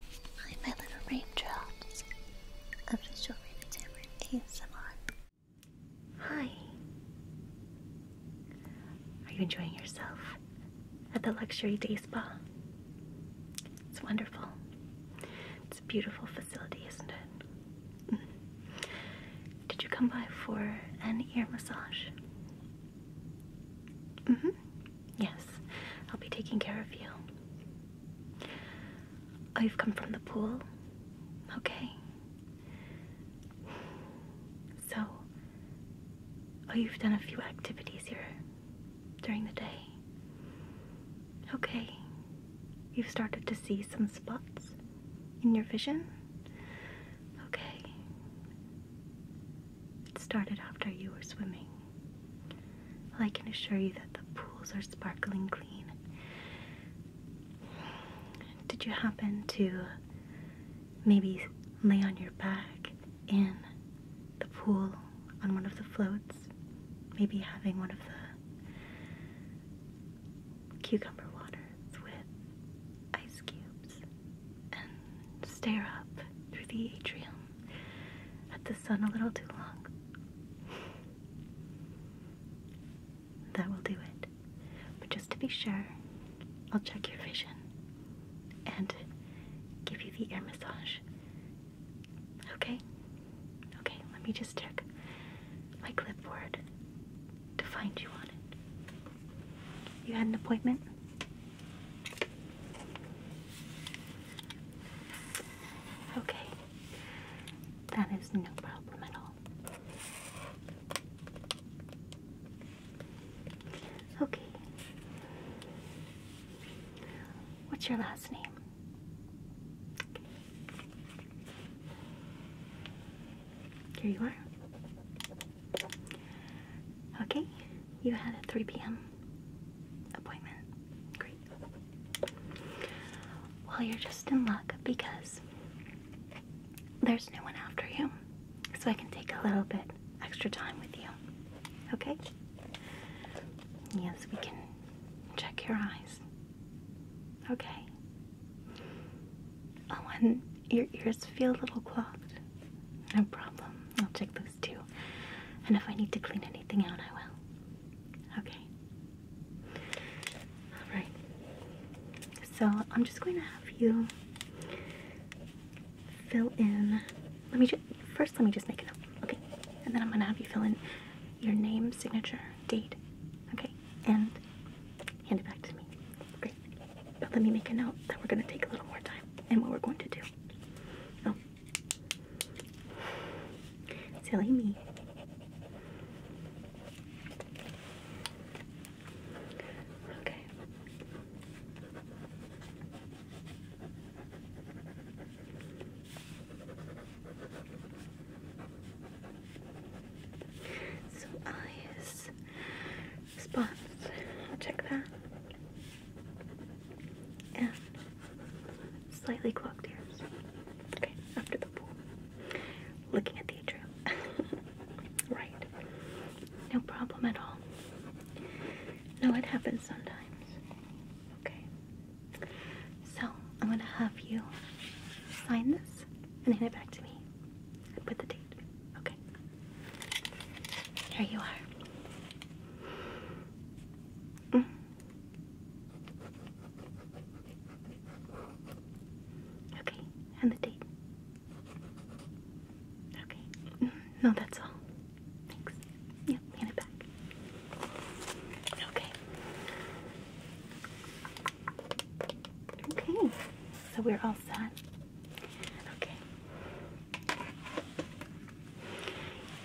Hi, my little raindrops. Official Rainy Tamarind ASMR. Hi. Are you enjoying yourself at the luxury day spa? It's wonderful. It's a beautiful facility, isn't it? Mm-hmm. Did you come by for an ear massage? Mm hmm. Yes, I'll be taking care of you. Oh, you've come from the pool? Okay. So, oh, you've done a few activities here during the day. Okay. You've started to see some spots in your vision? Okay. It started after you were swimming. Well, I can assure you that the pools are sparkling clean. Did you happen to maybe lay on your back in the pool on one of the floats? Maybe having one of the cucumber waters with ice cubes and stare up through the atrium at the sun a little too long. That will do it. But just to be sure, I'll check your vision and give you the air massage. Okay? Okay, let me just check my clipboard to find you on it. You had an appointment? Okay, that is no problem at all. Okay. What's your last name? Here you are. Okay, you had at 3 p.m appointment. Great. Well, you're just in luck because there's no one after you, so I can take a little bit extra time with you. Okay? Yes, we can check your eyes. Okay. Oh, and your ears feel a little clogged. No problem. I'll check those too. And if I need to clean anything out, I will. Okay. All right. So I'm just going to have you fill in. Let me just first. Let me just make it up. Okay. And then I'm going to have you fill in your name, signature, date. Okay. And hand it back to me. Great. But let me make a note that we're going to take a little more time and what we're going to do. Oh, Silly me. Okay. So eyes, spots, check that and slightly clogged ears. Okay, after the pool. Looking at the atrium. right. No problem at all. No, it happens sometimes. Okay. So, I'm gonna have you sign this and hand it back to me. and put the date. Okay. Here you are. Mm. Okay, and the date. Okay. No, that's all. Thanks. Yep, hand it back. Okay. Okay, so we're all set. Okay.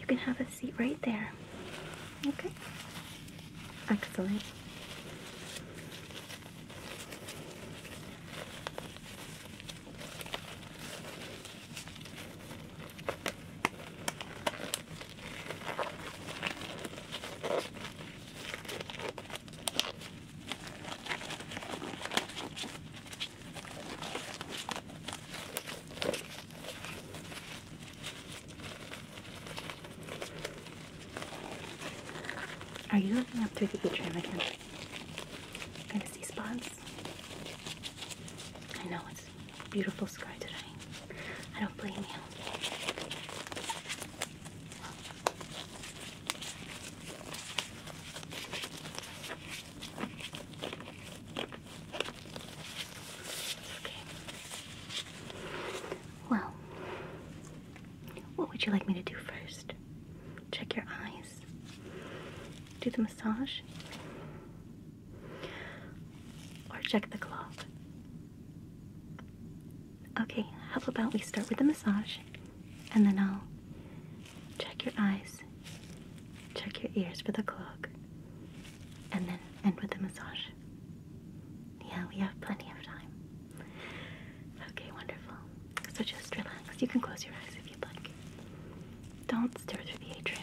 You can have a seat right there. Okay? Excellent. Are you looking up through the atrium again? Going to see spots? I know it's a beautiful sky today. I don't blame you. Well, what would you like me to do first? Check your eyes? Do the massage? Or check the cloth? Okay, how about we start with the massage and then I'll Check your eyes. Check your ears for the clog. And then end with a massage. Yeah, we have plenty of time. Okay, wonderful. So just relax. You can close your eyes if you'd like. Don't stare through the atrium.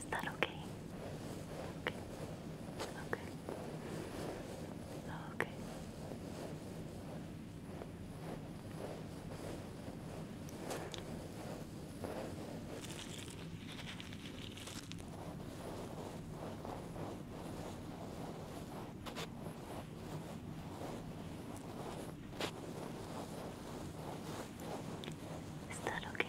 Is that okay? Okay. Okay. Okay. Is that okay?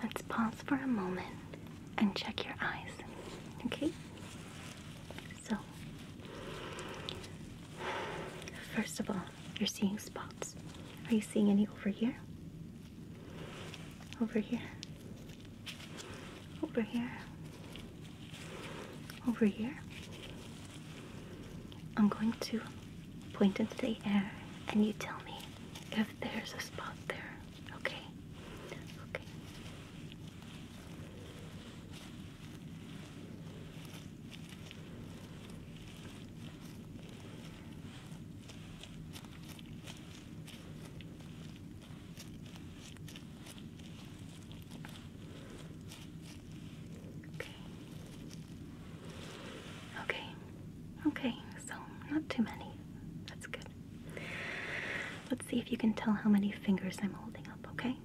Let's pause for a moment and check your eyes. Okay? So, first of all, you're seeing spots. Are you seeing any over here? Over here? Over here? Over here? I'm going to point into the air and you tell me if there's a spot there okay? Okay. Okay. Okay. Okay. So, not too many. That's good. Let's see if you can tell how many fingers I'm holding up, okay? Okay.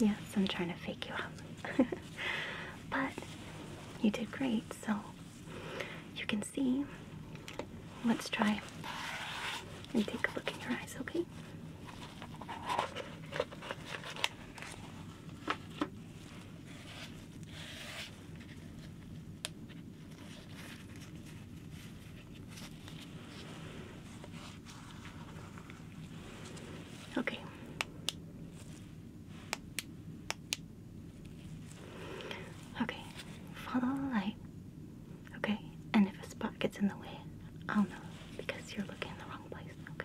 Yes, I'm trying to fake you out. but you did great, so you can see. Let's try and take a look in your eyes, okay? Okay. Okay. Follow the light. Okay? And if a spot gets in the way, I'll know because you're looking in the wrong place. Okay?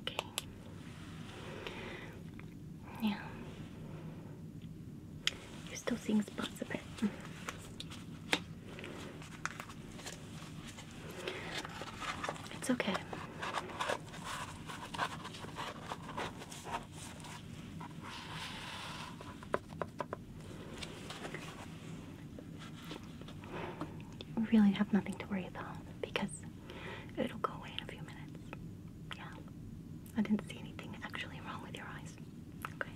Okay. Yeah. You're still seeing spots of it. It's okay. We really have nothing to worry about because it'll go away in a few minutes. Yeah. I didn't see anything actually wrong with your eyes. Okay.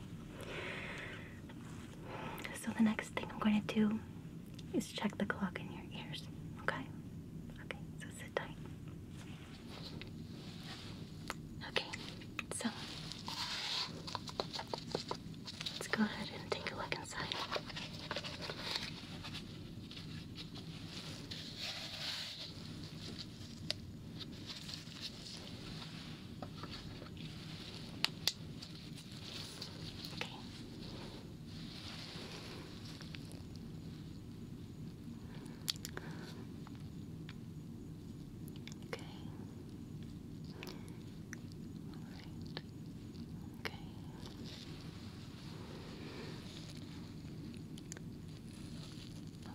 So the next thing I'm going to do is check the clock in your ears. Okay? Okay, so sit tight. Okay, so Let's go ahead and take a look inside. Okay. Okay. All right. Okay.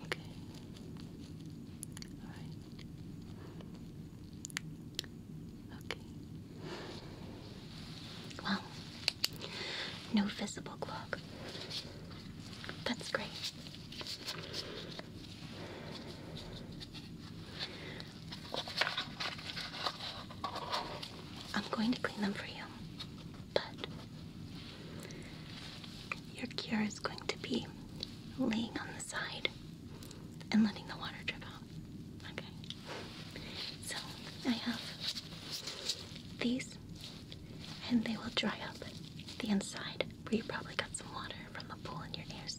Okay. All right. Okay. Well, no visible clog. That's great. I'm going to clean them for you, but your cure is going to be laying on the side and letting the water drip out. Okay? So I have these, and they will dry up the inside where you probably got some water from the pool in your ears.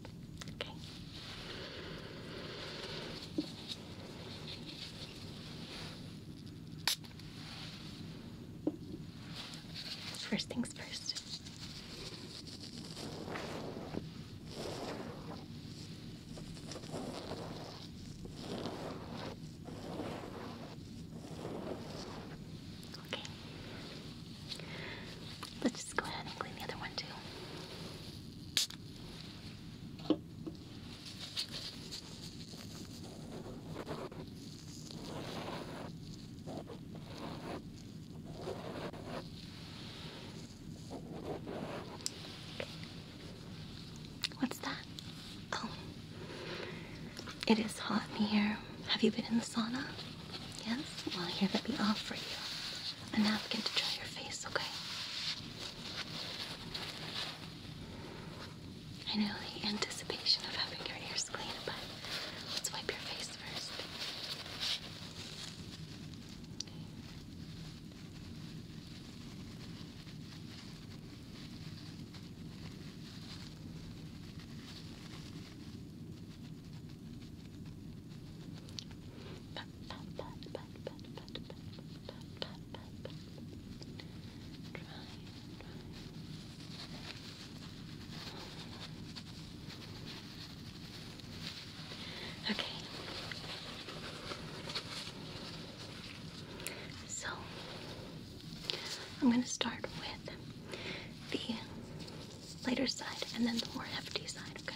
First things first. Okay. Let's just go ahead and clean the other one too. What's that? Oh, it is hot in here. Have you been in the sauna? Yes? Well, here, let me offer you a napkin to dry your face, okay? I know the anticipation of having your ears clean, but let's wipe your face first. Okay. Okay. So I'm going to start with the lighter side and then the more hefty side, okay?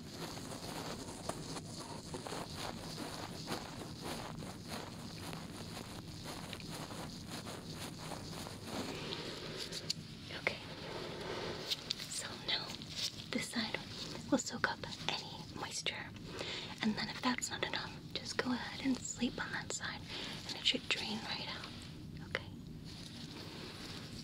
Okay. So now this side will soak up any moisture. And then if that's not enough, just go ahead and sleep on that side and it should drain right out. Okay.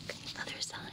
Okay, other side.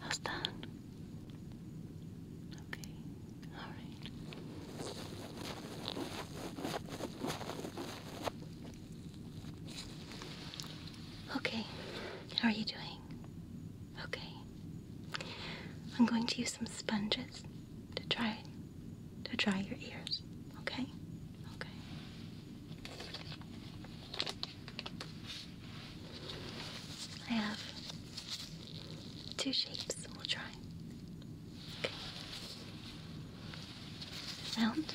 How's that? Okay, all right. Okay. How are you doing? Okay. I'm going to use some sponges to dry to dry your ears. Okay? Okay. I have two shapes we'll try. Okay. Round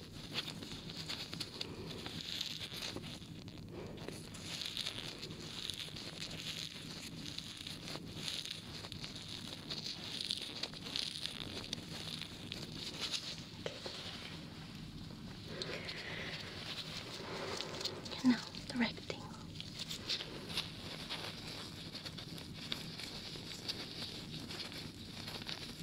And now directing.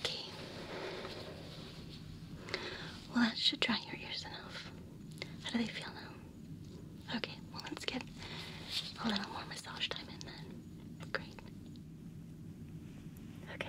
Okay. Well, that should dry your ears enough. How do they feel now? Okay, well, let's get a little more massage time in then. Great. Okay.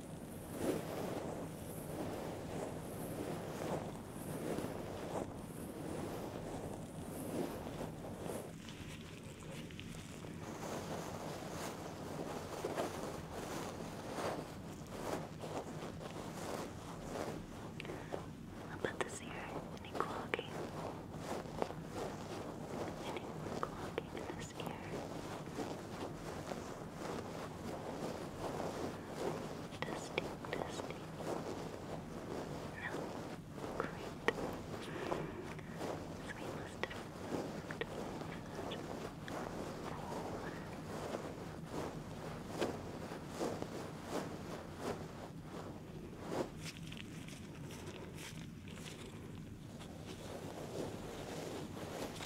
I'll put this here in a clogging. In a clogging in this ear. Testing, testing. No, great. So we must have moved over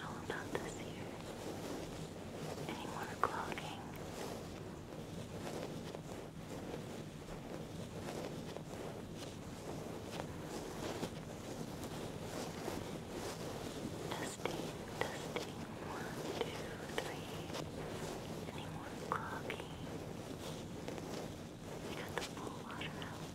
How oh, about this here? Any more clogging? Testing, testing, one, two, three. Any more clogging? You got the full water out. Excellent. Good.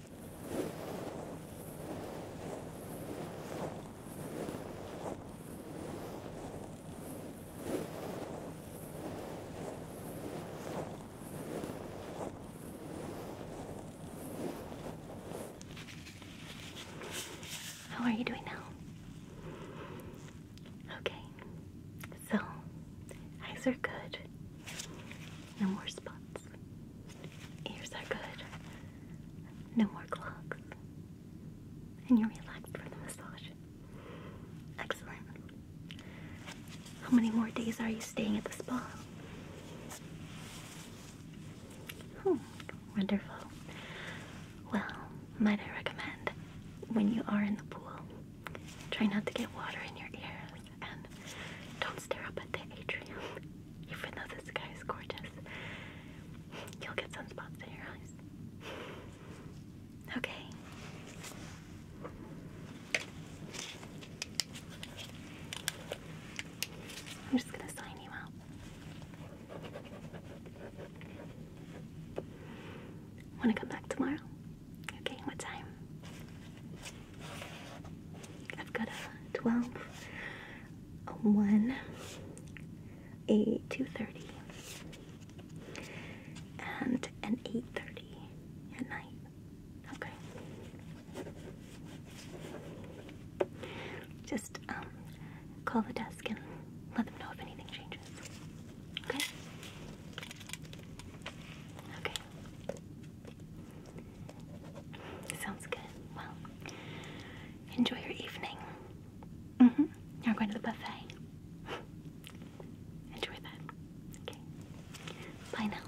How are you doing now? Okay, so eyes are good. No more spots. Ears are good. No more clogs. And you're relaxed from the massage. Excellent. How many more days are you staying at the spa? Hmm, wonderful. Well, might I recommend when you are in the pool, try not to get water in your ears and don't stare up at the atrium, even though the sky gorgeous. You'll get sunspots in your eyes. Okay. I'm just gonna sign you out. Wanna come back tomorrow? Okay, what time? I've got a 12, a 1, a 2.30, and an 8.30 at night. Okay. Just um, call the desk and let them know if anything changes. Okay? Okay. Sounds good. Well, enjoy your evening. Mm hmm. You're going to the buffet. enjoy that. Okay. Bye now.